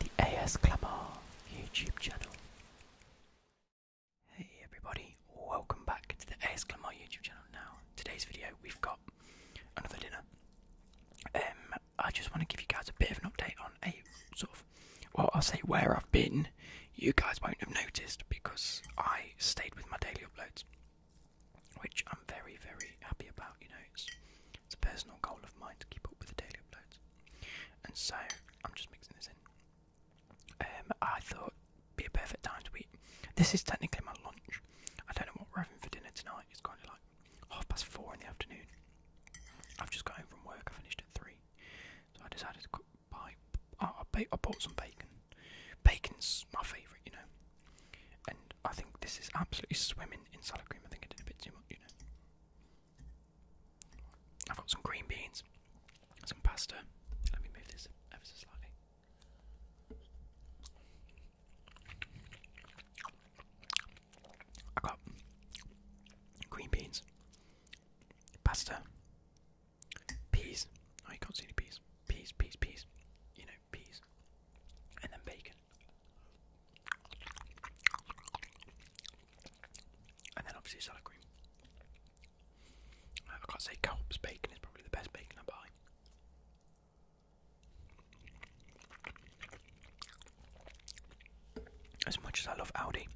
The AS Clamar YouTube channel. Hey everybody, welcome back to the AS Clamar YouTube channel. Now, today's video we've got another dinner. Um, I just want to give you guys a bit of an update on a sort of, well, I'll say where I've been. You guys won't have noticed because I stayed with my daily uploads which I'm very, very happy about. You know, it's, it's a personal goal of mine to keep up with the daily uploads, and so I'm just mixing this in. Um, I thought it'd be a perfect time to eat. This is technically my lunch. I don't know what we're having for dinner tonight. It's kind of like half past four in the afternoon. I've just got home from work. I finished at three, so I decided to cook I, bought some bacon. Bacon's my favourite, you know. And I think this is absolutely swimming in salad cream. I think I did a bit too much, you know. I've got some green beans, some pasta. Let me move this ever so slightly. I got green beans, pasta, peas. Oh, you can't see any peas. Peas, peas, peas. You know, peas. And then bacon. And then obviously salad cream. I can't say Culp's bacon is probably the best bacon I buy. As much as I love Audi,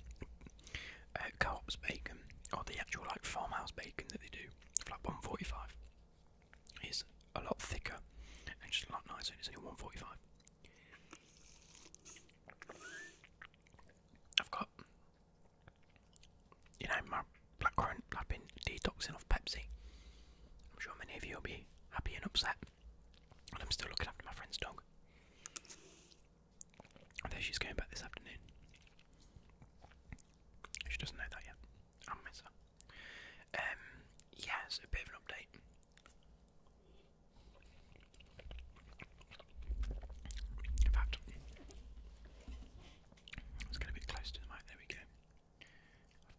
uh, bacon, or the actual like farmhouse bacon that they do, like 145 it's a lot thicker and just a lot nicer, it's only 145. I've got, you know, my blackcurrant, I've been detoxing off Pepsi. I'm sure many of you will be happy and upset. And I'm still looking after my friend's dog. And there she's going back this afternoon. She doesn't know that yet. I'll miss her. Um, yeah, it's a bit of an update. In fact, let's get a bit closer to the mic. There we go.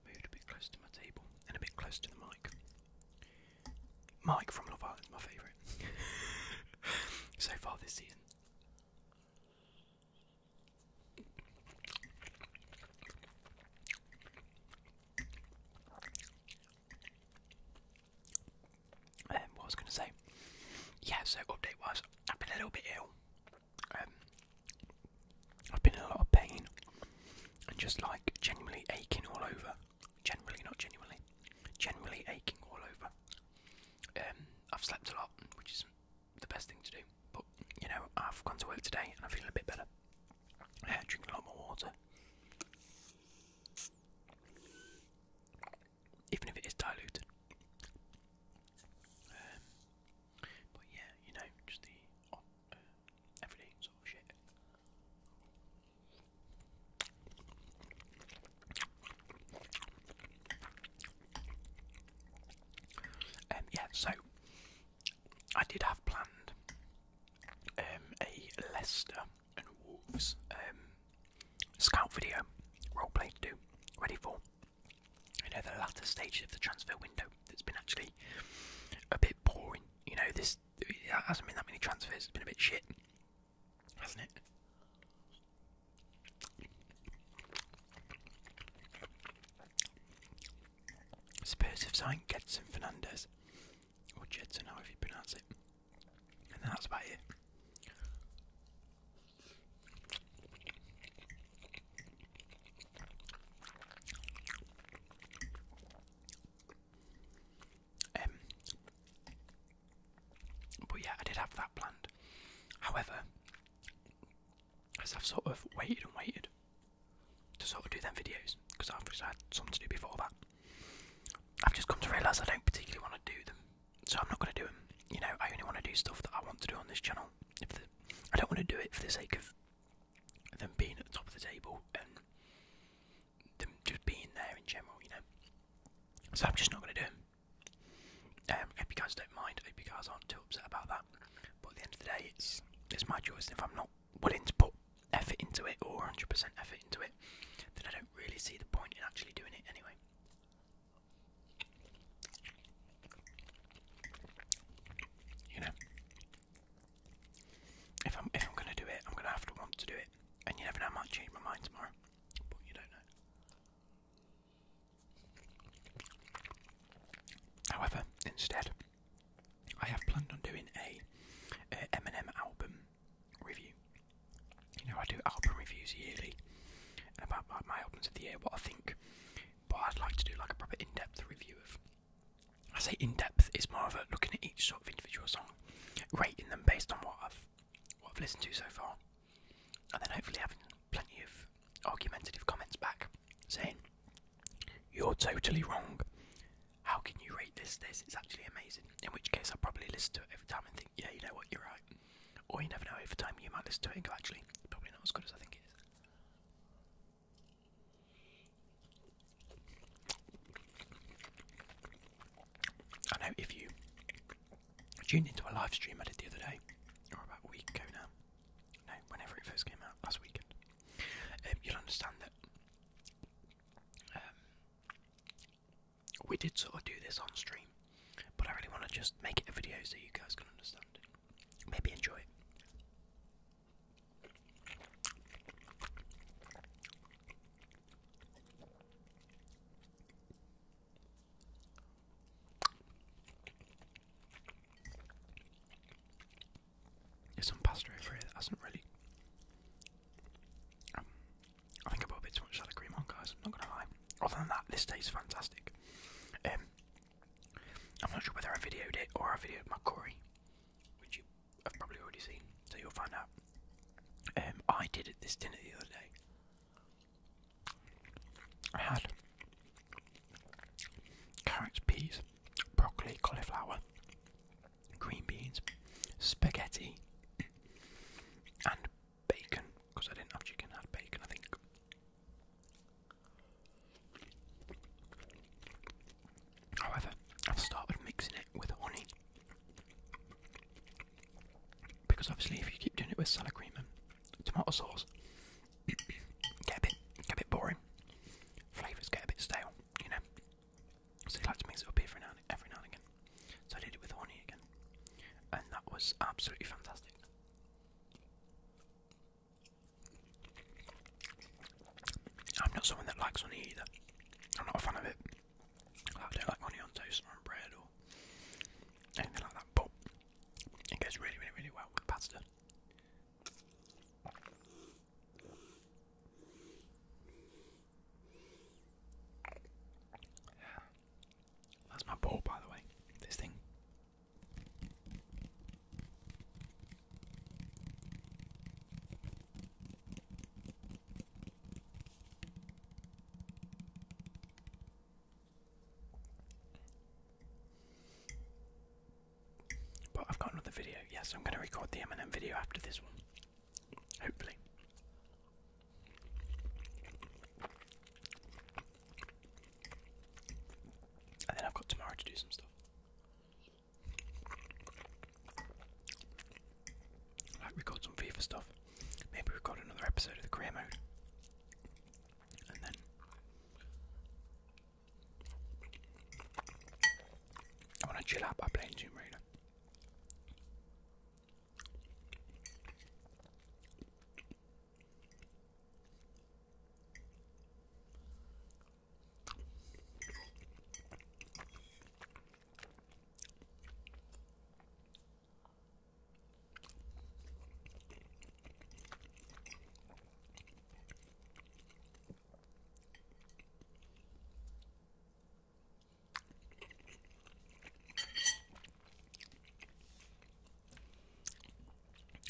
I've moved a bit closer to my table and a bit closer to the mic. Mike from Love Island, my favourite so far this year. Um, what was going to say? Yeah, so update wise, I've been a little bit ill. Um, I've been in a lot of pain and just like genuinely aching all over. Generally, not genuinely. Generally aching all over. Um, I've slept a lot, which is the best thing to do. But you know, I've gone to work today and i feel a bit better. drinking a lot more water. Even if it is diluted. Um, but yeah, you know, just the uh, everyday sort of shit. Um, yeah, so I did have planned um, a Leicester and Wolves um, scout video roleplay to do, ready for you know the latter stages of the transfer window. That's been actually a bit boring. You know this hasn't been that many transfers. It's been a bit shit, hasn't it? Spurs have signed Gedson Fernandez, or Jedson, if you pronounce it, and that's about it. But yeah, I did have that planned. However, as I've sort of waited and waited to sort of do them videos, because I've just had something to do before that, I've just come to realise I don't particularly want to do them, so I'm not going to do them. You know, I only want to do stuff that I want to do on this channel. I don't want to do it for the sake of them being at the top of the table and them just being there in general, you know. So I'm just not going to do them. Um, I hope you guys don't mind. I hope you guys aren't too upset about that. But at the end of the day, it's it's my choice. And if I'm not willing to put effort into it or 100% effort into it, then I don't really see the point in actually doing it anyway. You know, if I'm if I'm gonna do it, I'm gonna have to want to do it, and you never know, I might change my mind tomorrow. But you don't know. However, instead, I have planned on doing a, Eminem album review. You know, I do album reviews yearly, about my albums of the year, what I think. But I'd like to do like a proper in-depth review of. I say in-depth; is more of a looking at each sort of individual song, rating them based on what I've what I've listened to so far, and then hopefully having plenty of argumentative comments back saying, You're totally wrong. How can you rate this? This is actually amazing. In which case, I'll probably listen to it every time and think, Yeah, you know what, you're right. Or you never know, every time, you might listen to it and go, Actually, probably not as good as I think it is. I know if you I tuned into a live stream I did the other day, or about a week ago now. No, whenever it first came out, last weekend. Um, you'll understand that um, we did sort of do this on stream, but I really want to just make it a video so you guys can understand Maybe enjoy it some pasta over here that hasn't really. Um, I think I put a bit too much salad cream on, guys. I'm not gonna lie. Other than that, this tastes fantastic. Um, I'm not sure whether I videoed it or I videoed my curry, which you have probably already seen, so you'll find out. Um, I did it this dinner the other day, I had carrots, peas, broccoli, cauliflower, green beans, spaghetti, and bacon because I didn't have chicken, I had bacon, I think. However, I've started mixing it with honey. Because obviously, if you keep doing it with salad cream and tomato sauce, get a bit get a bit boring. Flavours get a bit stale, you know. So you like to mix it up every now and every now and again. So I did it with honey again, and that was absolutely fantastic. I'm not someone that likes honey either. I'm not a fan of it. I don't like honey on toast or on bread or anything like that. But it goes really, really, really well with pasta. That's my ball, by the way. This thing. But I've got another video. Yes, I'm going to record the Eminem video after this one. Hopefully. And then I've got tomorrow to do some stuff. Like record some FIFA stuff. Maybe we've got another episode of the career mode. And then I wanna chill out by playing Tomb Raider.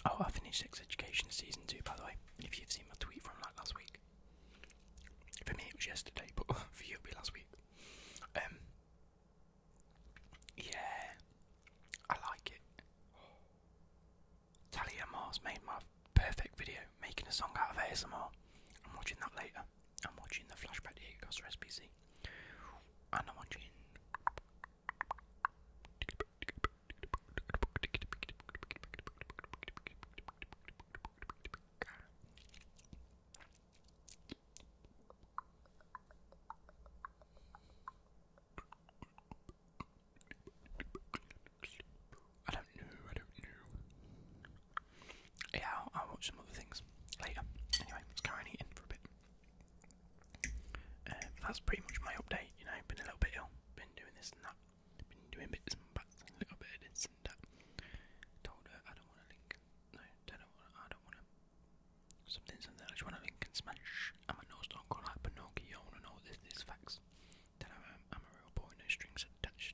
Oh, I finished Sex Education season two, by the way. If you've seen my tweet from like last week, for me it was yesterday, but for you it'll be last week. Um, yeah, I like it. Talia Mars made my perfect video, making a song out of ASMR. I'm watching that later. I'm watching the flashback to Diego Costa And I'm watching. I don't know, I don't know. Yeah, I'll, I'll watch some other things later. Anyway, let's carry on eating for a bit. Um, that's pretty much my update, you know, been a little bit ill, been doing this and that, been doing bits and bats, a little bit of this and that. Told her I don't want to link no, don't, I don't want to. Something, something. I just want to link and smash. I'm a nose don't call like Pinocchio and all this, these facts. i I'm a real boy, no strings attached.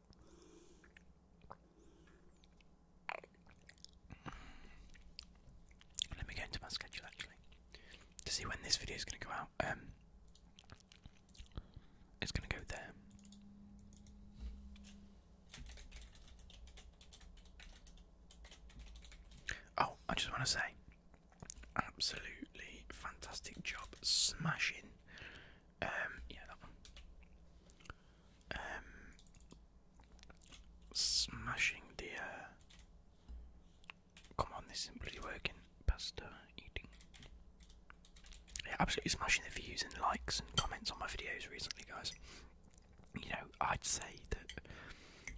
Let me go into my schedule actually to see when this video is going to go out. Um, it's going to go there. Oh, I just want to say, absolutely fantastic job smashing um, yeah, um, smashing the. Uh, come on, this isn't working. Pasta eating. Yeah, absolutely smashing the views and likes and comments on my videos recently, guys. You know, I'd say that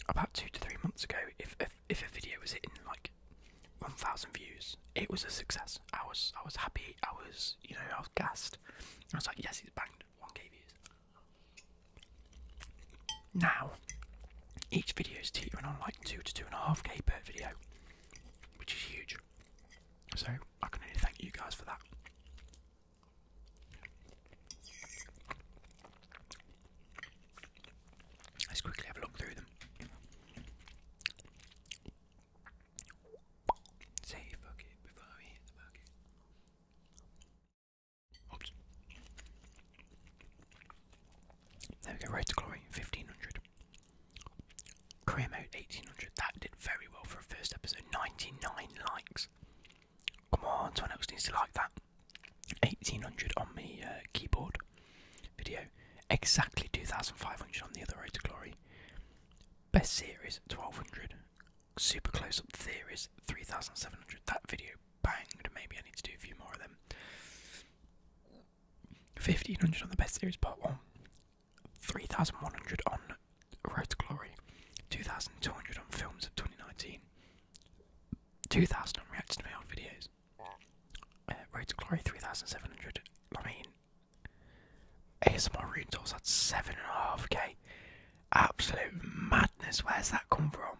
about two to three months ago, if if, if a video was hitting like 1,000 views, it was a success. I was I was happy. I was you know I was gassed. I was like, yes, he's banged 1k views. Now, each video is teetering on like 2 to 2.5k per video, which is huge. So, I can only thank you guys for that. Let's quickly have a look through them. Say fuck it before I hit the bucket. Oops. There we go, Road to Glory, 1500. Career mode, 1800. That did very well for a first episode. 99 likes. Come on, someone else needs to like that. 1800 on the uh, keyboard video. Exactly 2500 on the other Road to Glory. Best series, 1200. Super close up theories, 3700. That video banged. Maybe I need to do a few more of them. 1500 on the best series, part 1. 3100 on Road to Glory. 2200 on films of 2019. 2000 on reacting to my old videos. Uh, Road to Glory 3700. I mean, ASMR Rune Tools at 7.5k. Absolute madness. Where's that come from?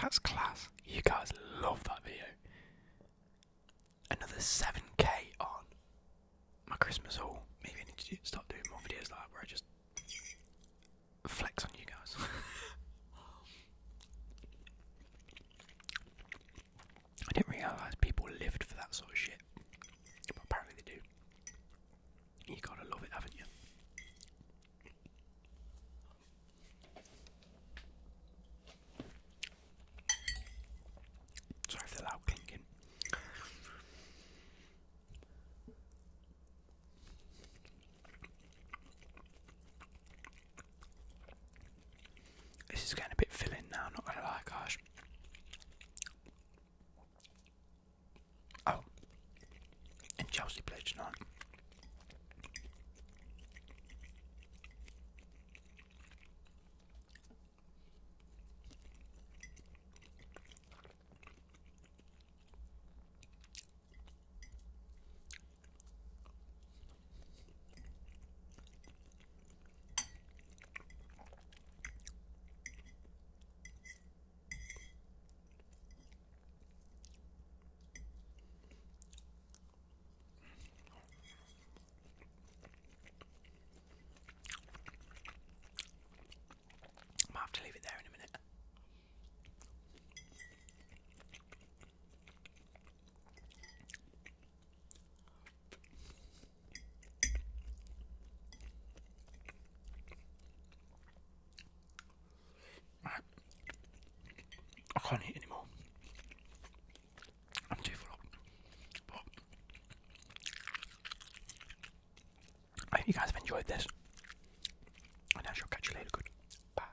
That's class. You guys love that video. Another 7k on my Christmas haul. Maybe I need to start doing more videos like that where I just flex on you guys. I didn't realise people lived for that sort of shit. But apparently they do. You gotta love it, haven't you? Sorry for the loud clinking. This is getting a bit filling now, not gonna lie guys. Oh, and Chelsea play tonight. Might have to leave it there in a minute. I can't eat anymore. I'm too full I hope you guys have enjoyed this. And I shall catch you later. Good. Bye.